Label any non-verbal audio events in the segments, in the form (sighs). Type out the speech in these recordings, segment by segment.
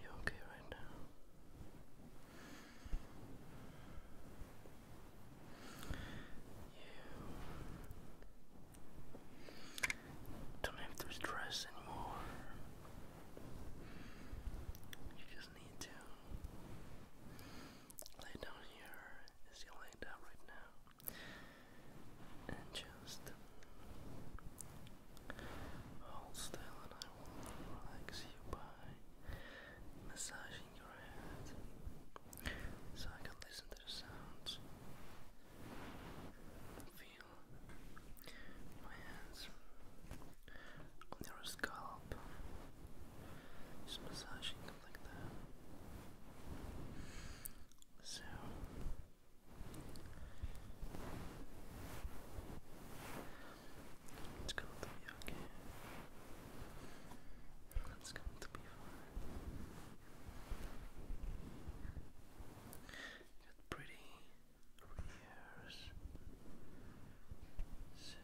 You okay right now? You don't have to stress anymore. You just need to lay down here. Is he laid down right now? and just hold still and I will relax you by massaging your head so I can listen to the sounds feel my hands on your scalp just massaging so it's going to be okay. It's going to be fine. Got pretty So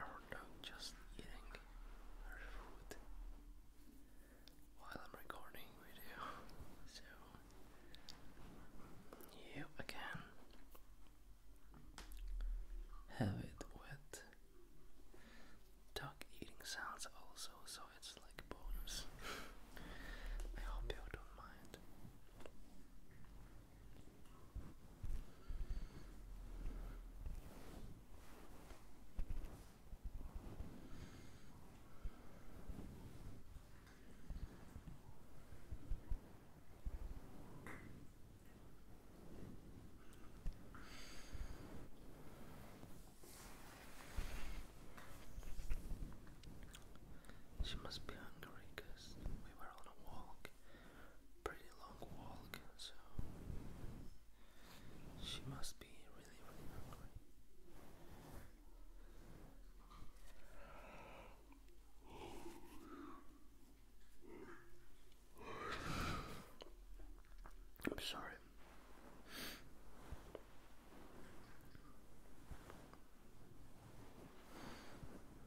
or not just eating our food while I'm recording video. So you again have it with duck eating sounds also, so it's like bonus. I hope you don't mind. She must be hungry because we were on a walk pretty long walk, so she must be really, really hungry. I'm sorry.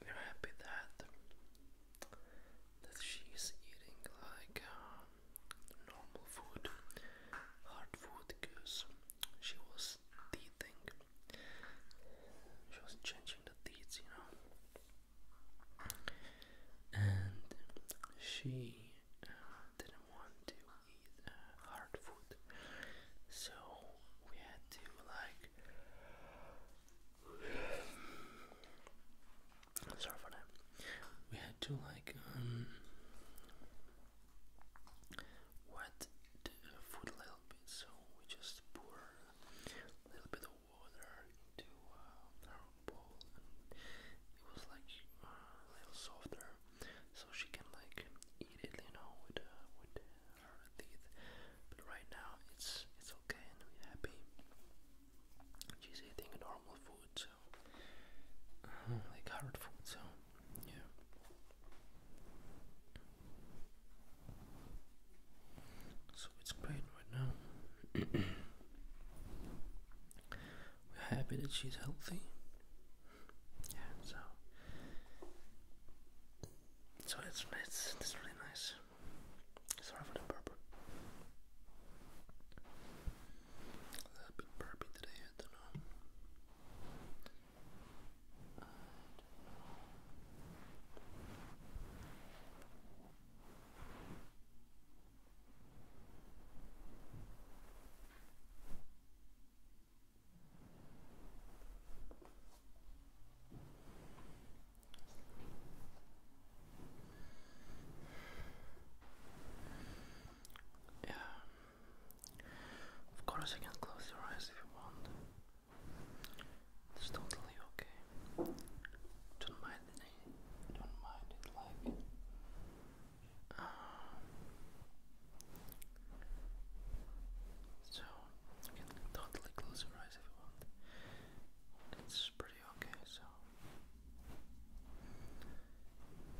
We're happy that that she's eating like um, normal food, hard food, because she was teething. She was changing the teeth, you know. And she uh, didn't want to eat uh, hard food, so we had to like. (sighs) Sorry for that. We had to like um wet the food a little bit, so we just pour a little bit of water into uh, her bowl, and it was like uh, a little softer, so she can like eat it, you know, with uh, with her teeth. But right now, it's it's okay, and we're happy. She's eating normal food, so Oh, like hard food, so yeah. So it's great right now. (coughs) We're happy that she's healthy. Yeah, so so it's it's it's really nice. Sorry for the burp. A little bit burpy today, I don't know. Yeah. Of course, you can close your eyes if you want. It's totally okay. Don't mind it. Don't mind it like. Uh, so you can totally close your eyes if you want. It's pretty okay. So.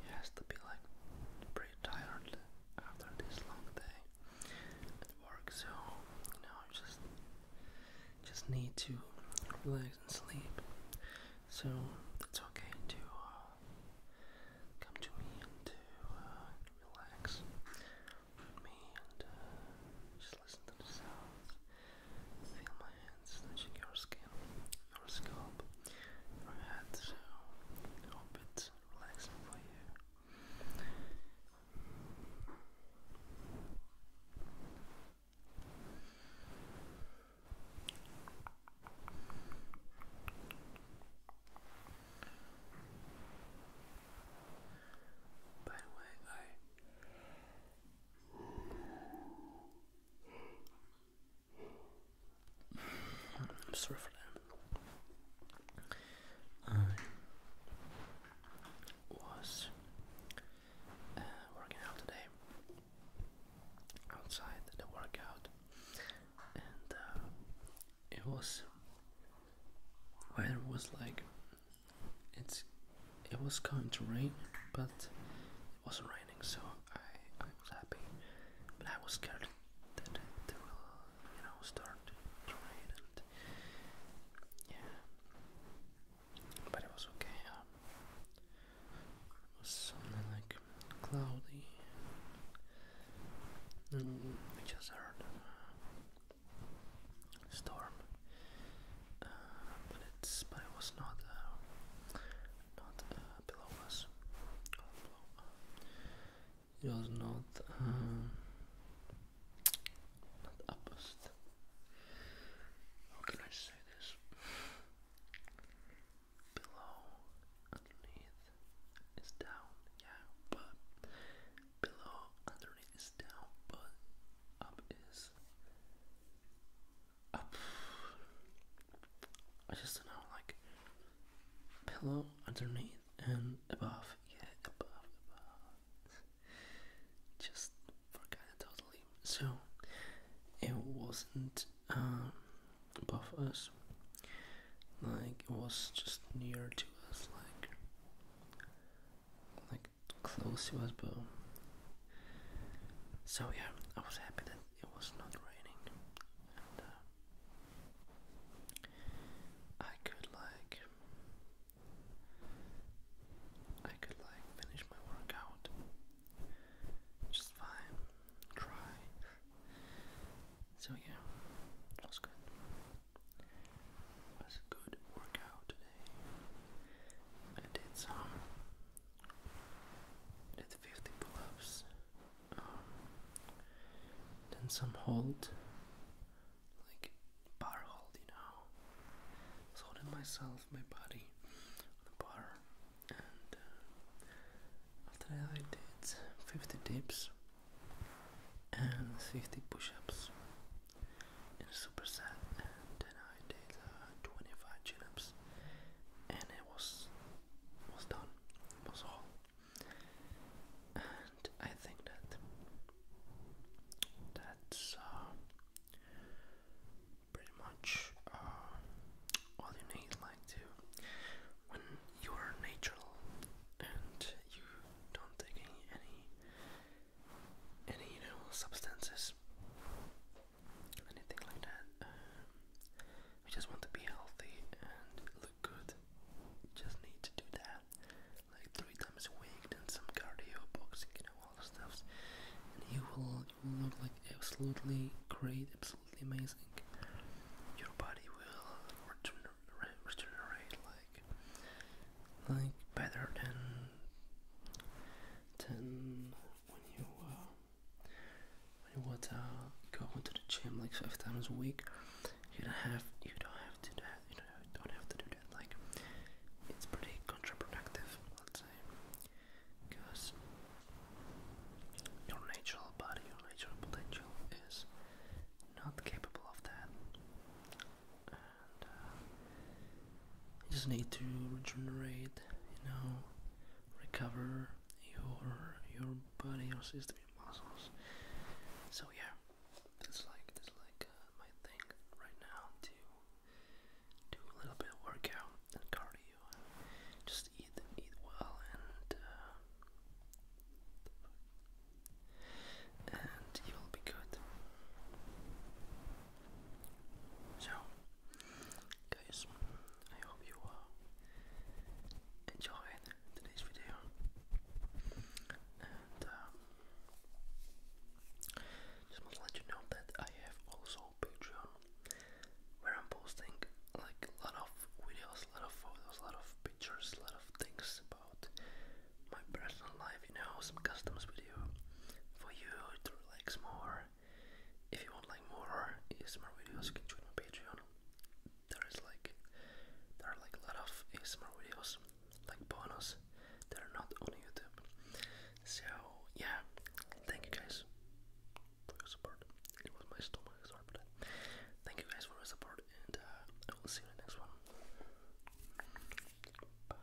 He has to be like pretty tired after this long day at work, so you know, just just need to relax and sleep. So it's okay to uh, come to me and to uh, relax with me and uh, just listen to the feel my hands touching your skin, your scalp, your head, so hope it's relaxing for you. By the way, I I'm sorry for that. I was uh, working out today outside the workout, and uh, it was weather was like it's it was going to rain, but it wasn't raining so I, was happy, but I was scared that it will, you know, start rain and yeah. But it was okay. Um, it was something like cloudy. we just heard storm, uh, but it's but it was not not below us. Or below, it was not um, not opposite. How can I say this? Below, underneath is down, yeah, but below, underneath is down, but up is I just don't know, like pillow underneath and above. Yeah, above, above. just forgot totally. So it wasn't um, above us. Like it was just near to us, like like close to us, but so yeah, I was happy that it was not raining, and uh, I could like I could like finish my workout just fine, dry. So yeah, was good. was a good workout today. I did some did 50 pull-ups, um, then some hold, like bar hold, you know. holding myself, my body, on the bar, and uh, after that I did 50 dips and 50 push-ups in a superset, then I I did uh, 25 chin-ups and it was was done. was all. And I think that that's uh, pretty much uh, all you need like to when you are natural and you don't take any any, any you know substances anything like that. Um, we just want to be healthy and look good. Just need to do that like three times a week, then some cardio, boxing, you know, all the stuffs, and you will you will look like absolutely great, absolutely amazing. Your body will regenerate, regenerate like like better than than when you. Uh, you want to go to the gym like five times a week. You don't have you don't have to do that. You don't, have to do that. Like it's pretty counterproductive, let's say, because your natural body, your natural potential is not capable of that, uh, you just need to regenerate, you know, recover your your body, your system, your muscles. So yeah, it's like it's like uh, my thing right now to do a little bit of workout and cardio, and just eat eat well and. Uh, and you'll be good. So, Guys, I hope you uh, enjoyed today's video. Um, just want to let you know that I have also Patreon where I'm posting like a lot of videos, a lot of photos, a lot of pictures, a lot of things about my personal life, you know, some customs video for you to relax more if you want like more ASMR videos, you can join my Patreon. There is like there are like a lot of ASMR videos, like bonus, that are not on YouTube. So yeah, thank you guys for your support. It was my stomach, sorry uh, Thank you guys for your support, and uh, I will see you in the next one. Bye.